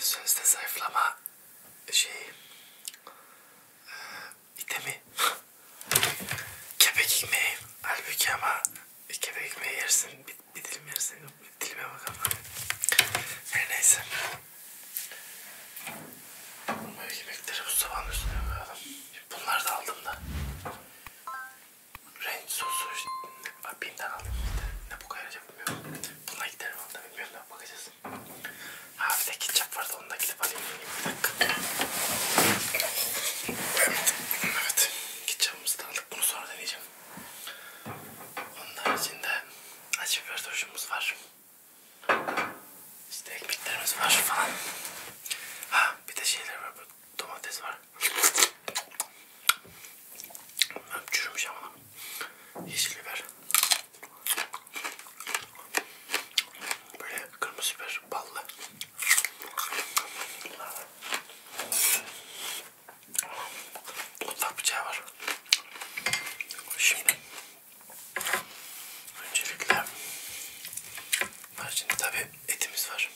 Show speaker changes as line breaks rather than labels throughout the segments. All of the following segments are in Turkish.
Sözde zayıflama şeyi e, itemi kepek ekmeği halbuki ama kepek ekmeği yersin bir, bir dilim yersin Dilime bakalım. Her neyse. Böyle yemekleri bu sabahın üstüne koyalım. Bunları da aldım da. Renk sosu işte. Binden aldım bir de. Ne bu kadar bilmiyorum. Buna giderim onu da bilmiyorum da bakacağız. Ha bir de ketçap vardı onu da gidip alayım. Bir dakika. Evet. Evet. Ketçapımızı da aldık. Bunu sonra deneyeceğim. Onun haricinde Acı biber turşumuz var. İşte ekmeklerimiz var falan. Ha bir de şeyler var. Domates var. Çürümüş ama. Yeşil biber. Böyle kırmızı biber ballı. Bulutlar bıçağı var. Şimdi öncelikle var şimdi tabi etimiz var.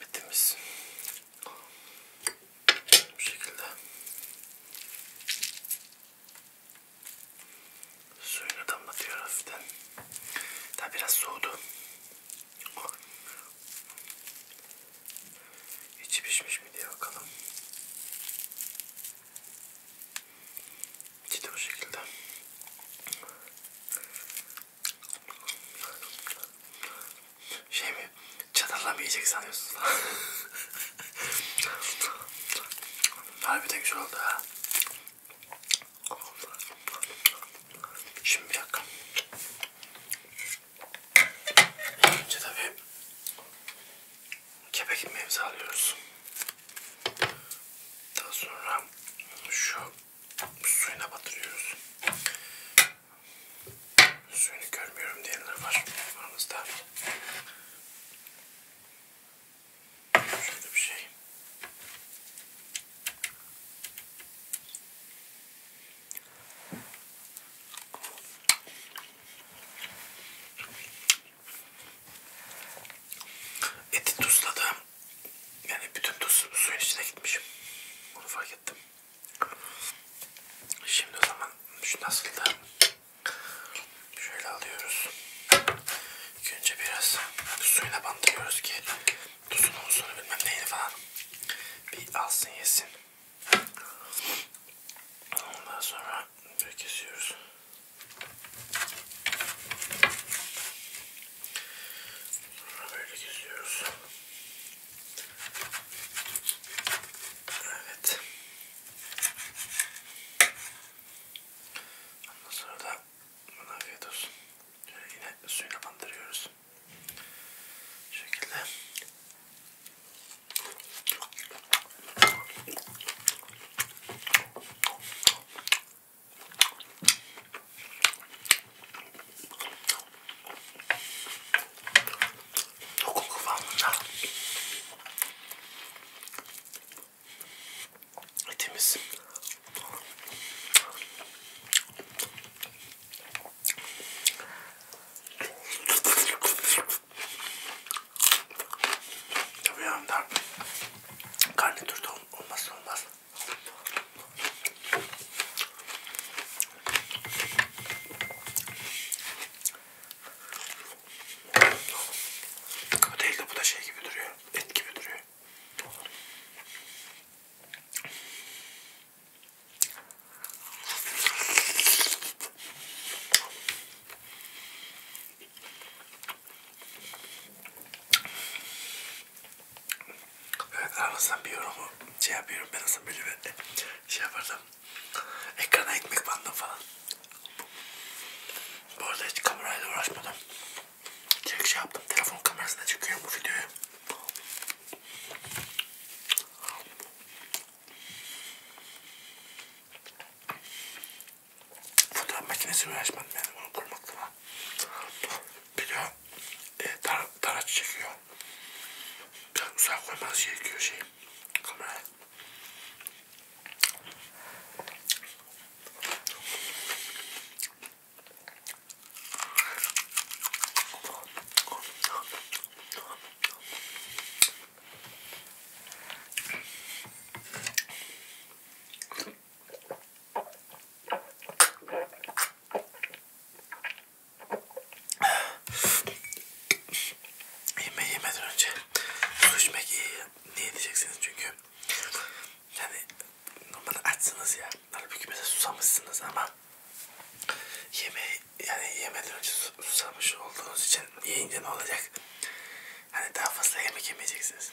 Etimiz bu şekilde. Suyunu damlatıyor hafiften. Daha biraz soğudu. Oh. İçi pişmiş mi diye bakalım. İçi de bu şekilde. Şey mi? Çatalla mı yiyecek sanıyorsunuz falan. Harbiden güzel oldu ha. Şimdi bir dakika. Önce tabii kepek imemizi alıyoruz. Daha sonra şu suyuna batırıyoruz. Suyunu görmüyorum diyenler var aramızda. Şöyle bir şey. Eti tuzladım. Yani bütün tuz suyun içine gitmişim. Bunu fark ettim. Şimdi o zaman şu nasıl da şöyle alıyoruz. İlk önce biraz suyuna bandırıyoruz ki tuzunu, uzunu bilmem neyini falan bir alsın yesin. Ondan sonra böyle kesiyoruz. Sonra böyle kesiyoruz. Evet. Ondan sonra da Buna afiyet olsun. Şöyle yine suyuna bandırıyoruz. Bu şekilde. Dokun kıvamında etimiz. Tabii yanımda garnitür de olmazsa olmaz. O değil de bu da şey gibi duruyor, et gibi duruyor. Evet aranızdan bir yorumu şey yapıyorum ben aslında böyle bir e, şey yapardım. Ekrana ekmek bandım falan. Bu arada hiç kamerayla uğraşmadım. Direkt şey yaptım. Telefon kamerasına çekiyorum bu videoyu. Fotoğraf makinesi uğraşmadım yani bunu kurmakla. Bir de e, tar taraç çekiyor. Biraz uzak koymanız gerekiyor şey. Kamerayı. Yemeği yemeden önce su içmek iyi. Niye diyeceksiniz çünkü yani normalde açsınız ya. Halbuki mesela susamışsınız ama yemeği yani yemeden önce susamış olduğunuz için yiyince ne olacak? Hani daha fazla yemek yemeyeceksiniz.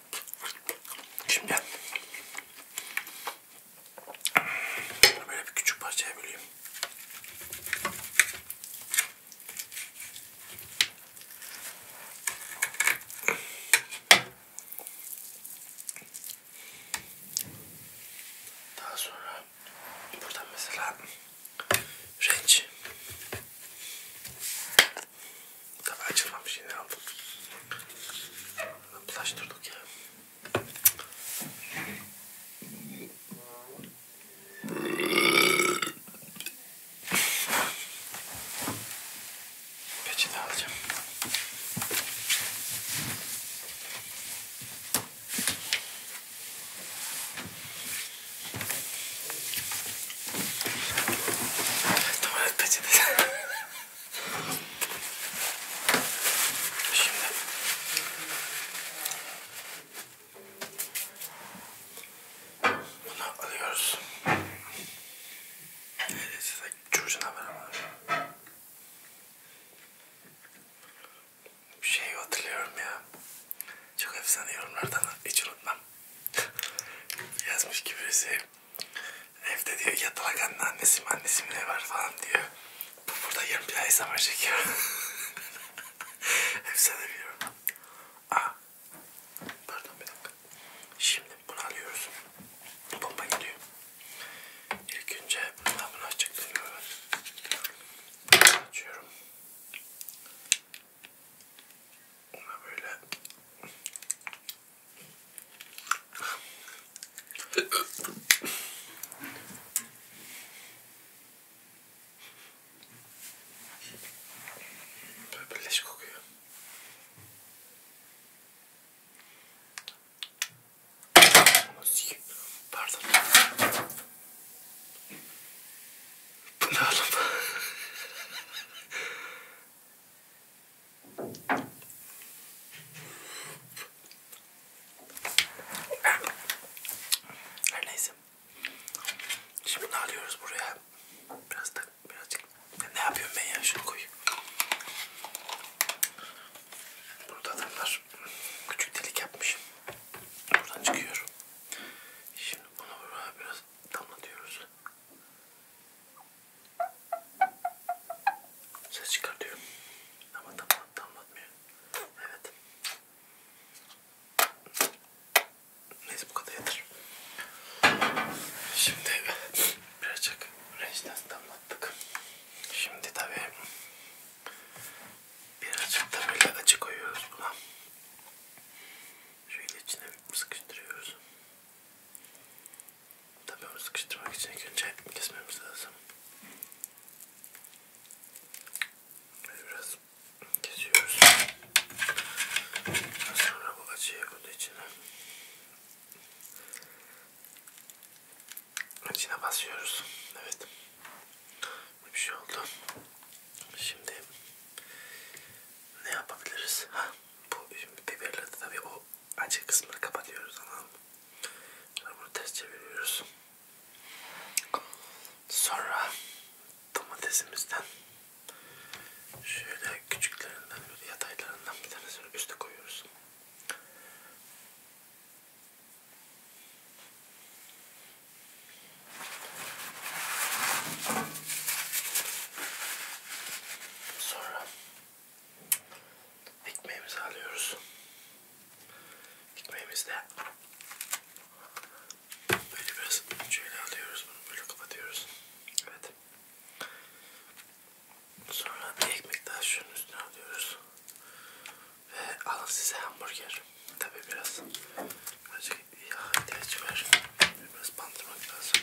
Şimdi böyle bir küçük parçaya böleyim. Daha sonra buradan mesela renç Tabi açılmamış yine aldım. Bulaştırdık ya. Peçete alacağım. Tuvalet peçetesi. Şimdi. Bunu alıyoruz. Size çocuğuna beraber. Bir şey hatırlıyorum ya. Çok efsane yorumlardan hiç unutmam. Yazmış ki birisi. Şey. Evde diyor yatalak anne annesim annesim ne var falan diyor. Bu burada yarım bir ay zaman çekiyor. Efsane biliyorum. Aa. Pardon bir dakika. Şimdi bunu alıyoruz. Bomba gidiyor. İlk önce bundan bunu açacak Bunu açıyorum. Ona böyle Böyle leş kokuyor. Pardon. Bu ne oğlum? Her neyse. Şimdi ne alıyoruz buraya? Biraz da birazcık. Ne yapıyorum ben ya? Şunu koy. Burada adamlar küçük delik yapmışım. Buradan çıkıyorum. Şimdi bunu buraya biraz damlatıyoruz. Ses çıkartıyor. Ama tam anlatmıyor. Evet. Neyse bu kadar yeter. Şimdi birazcık reçten damlattık. Şimdi tabii birazcık da böyle acı koyuyoruz buna. Şöyle içine sıkıştırıyoruz. Tabii onu sıkıştırmak için ilk önce kesmemiz lazım. Böyle biraz kesiyoruz. Daha sonra bu acıyı bunun içine içine basıyoruz. Evet. Bir şey oldu. Şimdi ne yapabiliriz? Ha, bu biberle de tabii o Açık kısmını kapatıyoruz tamam Sonra bunu ters çeviriyoruz. Sonra domatesimizden şöyle küçüklerinden böyle yataylarından bir tanesini üste koyuyoruz. Sonra Ekmeğimizi alıyoruz. Ekmeğimizi de böyle biraz şöyle alıyoruz. Bunu böyle kapatıyoruz. Evet. Sonra bir ekmek daha şunun üstüne alıyoruz. Ve alın size hamburger. Tabi biraz birazcık yağ ihtiyacı var. Biraz bandırmak lazım.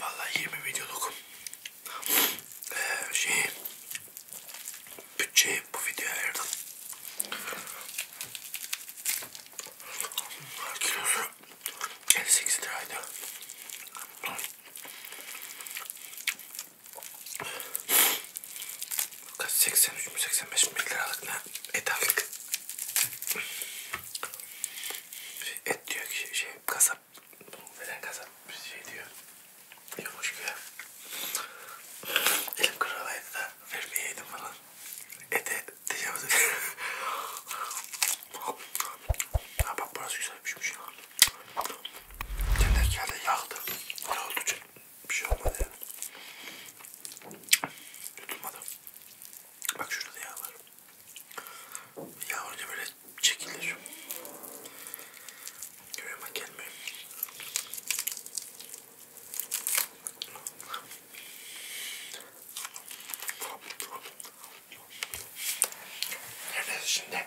Vallahi 20 videoluk ee, şeyi bütçeyi bu videoya ayırdım. Kilosu 58 liraydı. Kaç 83 mü 85 mi liralık ne? Et aldık. Şey, et diyor ki şey kasap. Veren kasap şey diyor. Yumuş güya. Elim kırılaydı da vermeyeydim falan. Ete tecavüz Ha bak burası güzel pişmiş ya. Şey. Tenekede yağdı. Ne oldu canım? Bir şey olmadı yani. Yutulmadı. Bak şurada da yağ var. Yağ önce böyle çekilir. Görüyorum bak gelmiyor. Nerede şimdi?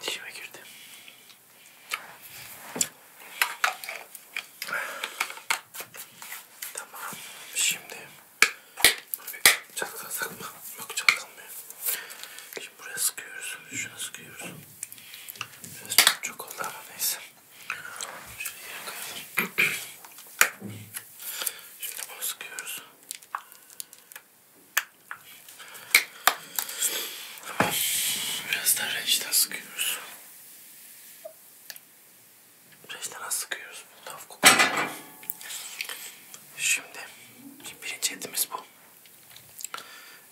Dişime girdi. Tamam. Şimdi buraya çalkalasak mı? Yok çalkalmıyor. Şimdi buraya sıkıyoruz. Şuna sıkıyoruz. Biraz çok, çok oldu ama neyse. Şöyle yere koyalım. Şimdi bunu sıkıyoruz. Biraz da reçten sıkıyoruz. Reçten az sıkıyoruz. Laf kokuyor. Şimdi birinci etimiz bu.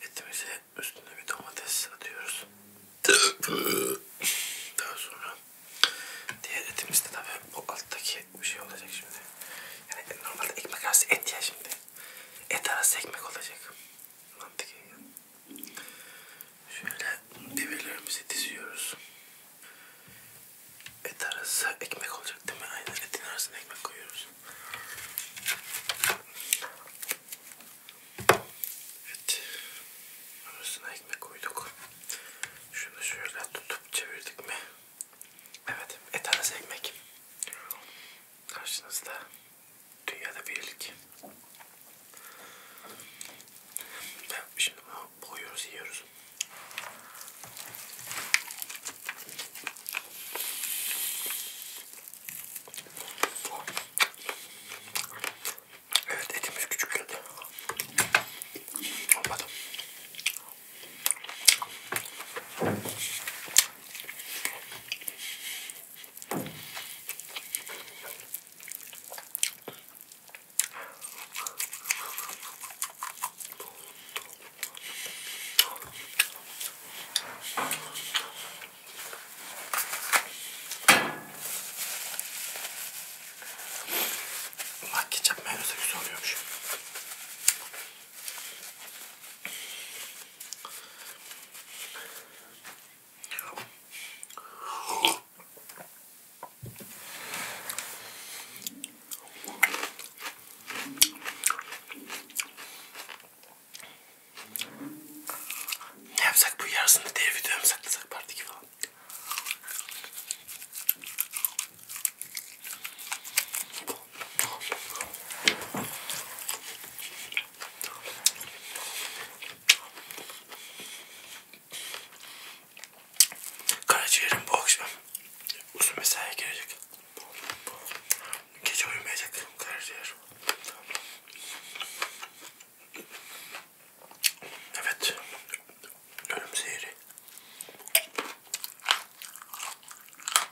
Etimizi üstüne bir domates atıyoruz. Daha sonra diğer etimiz de tabii bu alttaki bir şey olacak şimdi. Yani normalde ekmek arası et ya şimdi. Et arası ekmek olacak. Mantık Şöyle develerimizi diziyoruz. Et arası ekmek olacak değil mi? Aynen etin arasına ekmek koyuyoruz. Evet. Arasına ekmek koyduk. Şunu şöyle tutup çevirdik mi? Evet. Et arası ekmek. Karşınızda. Dünyada bir ilk. Ben şimdi bunu koyuyoruz, yiyoruz. Evet etimiz küçük geldi. Olmadı. Bak ketçap mayonezle güzel oluyormuş. Ne yapsak bu yarısını diğer videoya mı saklasak partiki falan? Karaciğerim bu akşam uzun mesaiye girecek. Gece uyumayacak karaciğer. Evet. Ölüm seyri.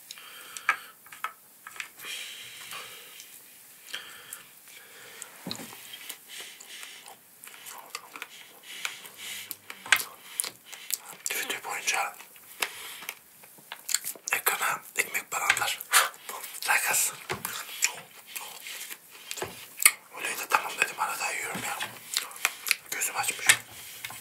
Video boyunca ekrana ekmek paranlar. Sakasın. Öyleydi tamam dedim arada yiyorum ya. Gözüm açmış.